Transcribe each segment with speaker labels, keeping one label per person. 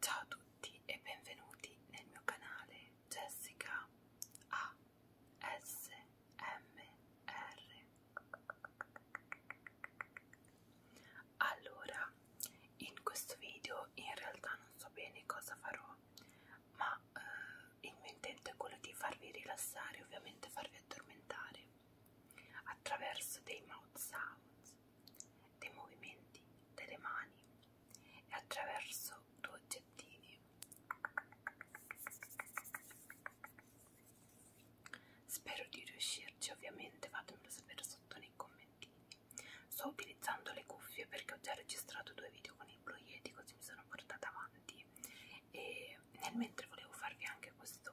Speaker 1: Ciao a tutti e benvenuti nel mio canale Jessica ASMR. Allora, in questo video in realtà non so bene cosa farò, ma eh, il mio intento è quello di farvi rilassare, ovviamente farvi addormentare attraverso dei mouth sounds, dei movimenti delle mani e attraverso due oggettini. Spero di riuscirci, ovviamente fatemelo sapere sotto nei commenti. Sto utilizzando le cuffie perché ho già registrato due video con il Blue Yeti, così mi sono portata avanti e nel mentre volevo farvi anche questo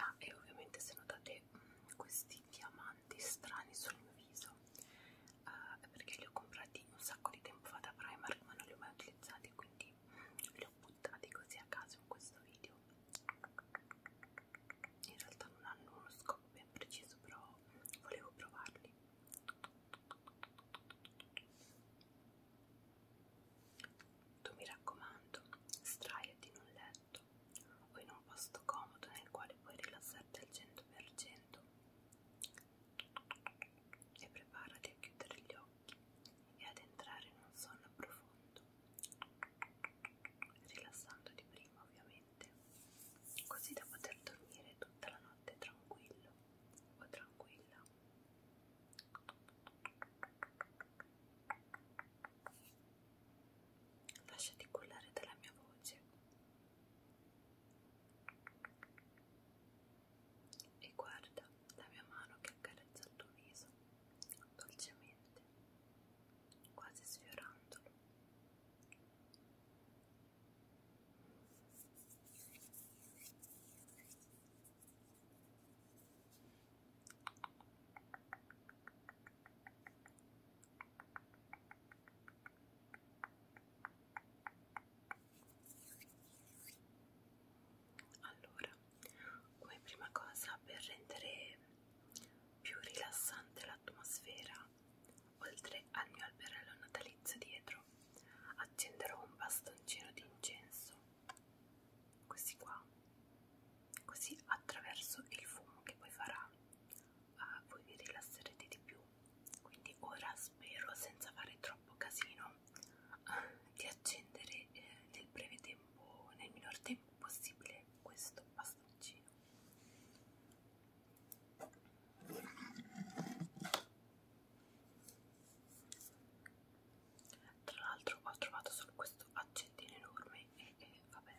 Speaker 1: Ah, e ovviamente se notate mh, mm, questi diamanti strani sul mio viso uh, perché li ho comprati un sacco di tempo fa da Primark ma non li ho mai utilizzati quindi mm, li ho buttati così a caso in questo video in realtà non hanno uno scopo ben preciso però volevo provarli tu mi raccomando straiati in un letto o in un posto comodo nel quale puoi rilassarti al 100% e preparati a chiudere gli occhi e ad entrare in un sonno profondo rilassando di prima ovviamente, così da poter dormire tutta la notte tranquillo o tranquilla. Lasciati cullare dalla mia voce e guarda la mia mano che accarezza il tuo viso dolcemente quasi sfiorandolo. Allora, come prima cosa per rendere più rilassante l'atmosfera. Oltre al mio alberello natalizio dietro, accenderò un bastoncino di incenso, così qua, così attraverso il fumo che poi farà, uh, voi vi rilasserete di più. Quindi ora spero, senza fare troppo casino, uh, di accendere eh, nel breve tempo, nel minor tempo possibile questo bastoncino tra l'altro ho trovato solo questo accendino enorme e, e vabbè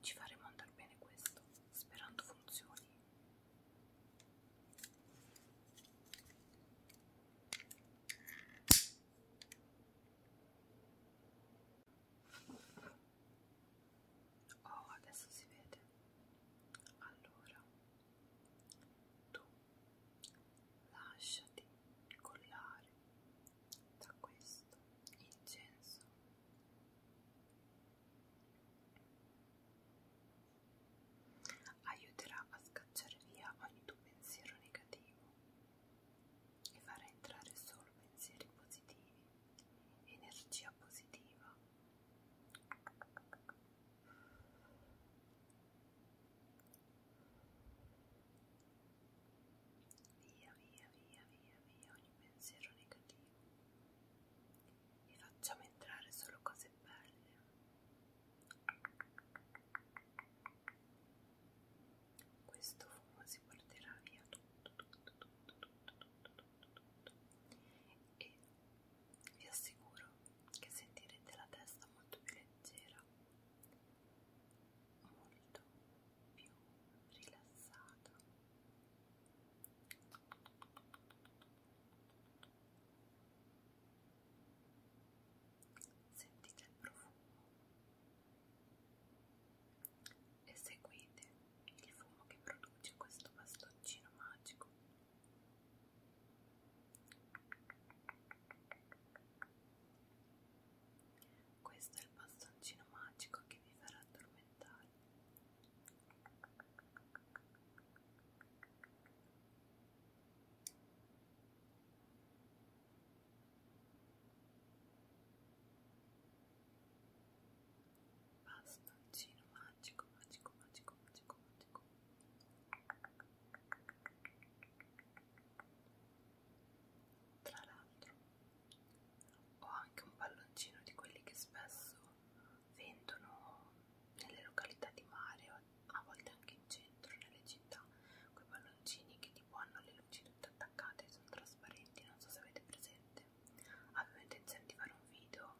Speaker 1: ci faremo andare bene questo sperando funzioni Oh, adesso si vede. Allora, tu lasciati collare da questo incenso. Aiuterà a scacciare via ogni tuo pensiero negativo e fare entrare solo pensieri positivi, energia positiva. Via, via, via, via, via ogni pensiero negativo e facciamo entrare solo cose belle. Questo fumo si porterà via tutto, tutto, tutto, tutto, tutto, tutto, tutto. E vi assicuro che sentirete la testa molto più leggera, molto più rilassata. Sentite il profumo e seguite il fumo che produce questo bastoncino magico. Questo è il bastoncino magico che vi farà addormentare bastoncino magico magico magico magico magico tra l'altro ho anche un palloncino di quelli che spesso vendono nelle località di mare a volte anche in centro nelle città quei palloncini che tipo hanno le lucide tutte attaccate sono trasparenti non so se avete presente avevo intenzione di fare un video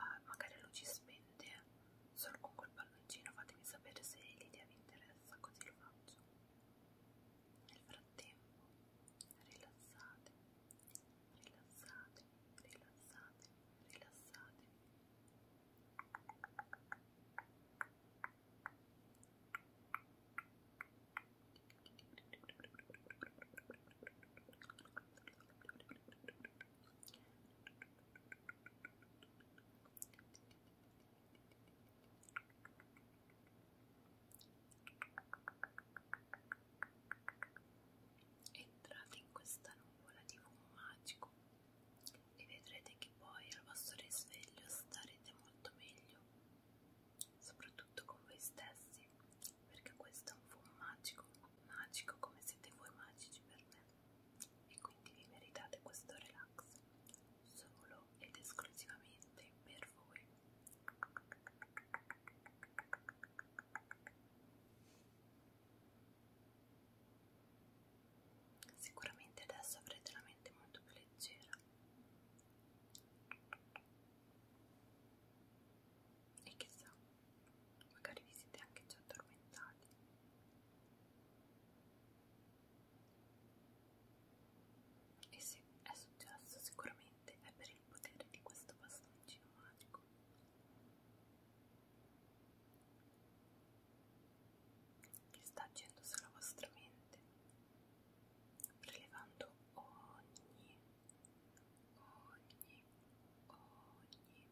Speaker 1: uh, magari a luci spente solo con quel palloncino fatemi sapere se l'idea vi interessa così lo faccio nel frattempo rilassate rilassate rilassate rilassate Entrate in questa nuvola di fumo magico e vedrete che poi al vostro risveglio starete molto meglio soprattutto con voi stessi, perché questo è un fumo magico, magico come siete voi magici per me e quindi vi meritate questo relax solo ed esclusivamente per voi. Sicuramente adesso avrete la mente molto più leggera e chissà, magari vi siete anche già addormentati. E se è successo sicuramente è per il potere di questo bastoncino magico. Che sta agendo sulla vostra mente prelevando ogni, ogni, ogni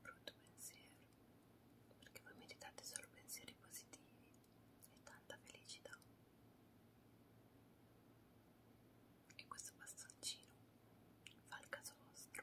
Speaker 1: brutto pensiero, perché voi meditate solo pensieri positivi e tanta felicità. E questo bastoncino fa il caso vostro.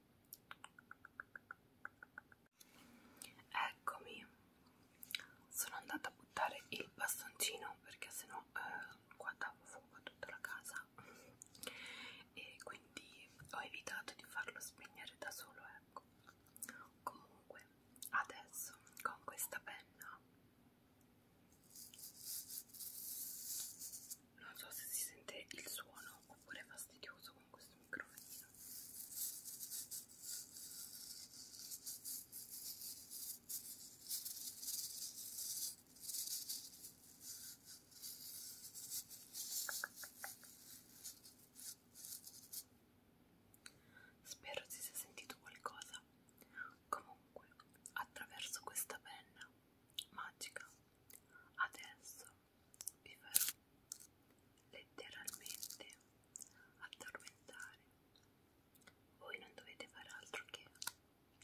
Speaker 1: Eccomi, sono andata a buttare il bastoncino perché sennò eh, qua davo fuoco a tutta la casa e quindi ho evitato di farlo spegnere da solo. Ecco, comunque, adesso con questa penna non so se si sente il suono oppure è fastidioso con questo microfonino Spero si sia sentito qualcosa. Comunque, attraverso questa penna magica, adesso vi farò letteralmente addormentare. Voi non dovete fare altro che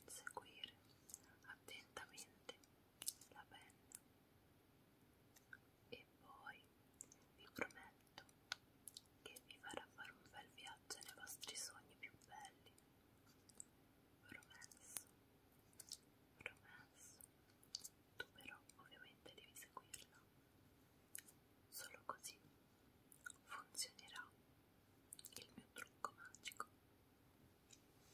Speaker 1: seguire attentamente la penna e poi vi prometto che vi farà fare un bel viaggio nei vostri sogni più belli. Promesso, promesso. Tu però ovviamente devi seguirla. Solo così funzionerà il mio trucco magico. Ora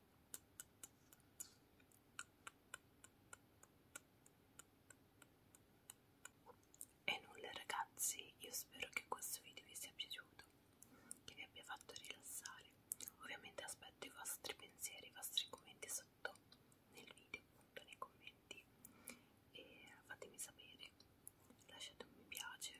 Speaker 1: E nulla ragazzi, io spero che questo video vi sia piaciuto, che vi abbia fatto rilassare. Ovviamente aspetto i vostri pensieri, i vostri commenti sotto nel video, appunto nei commenti. E fatemi sapere, lasciate un mi piace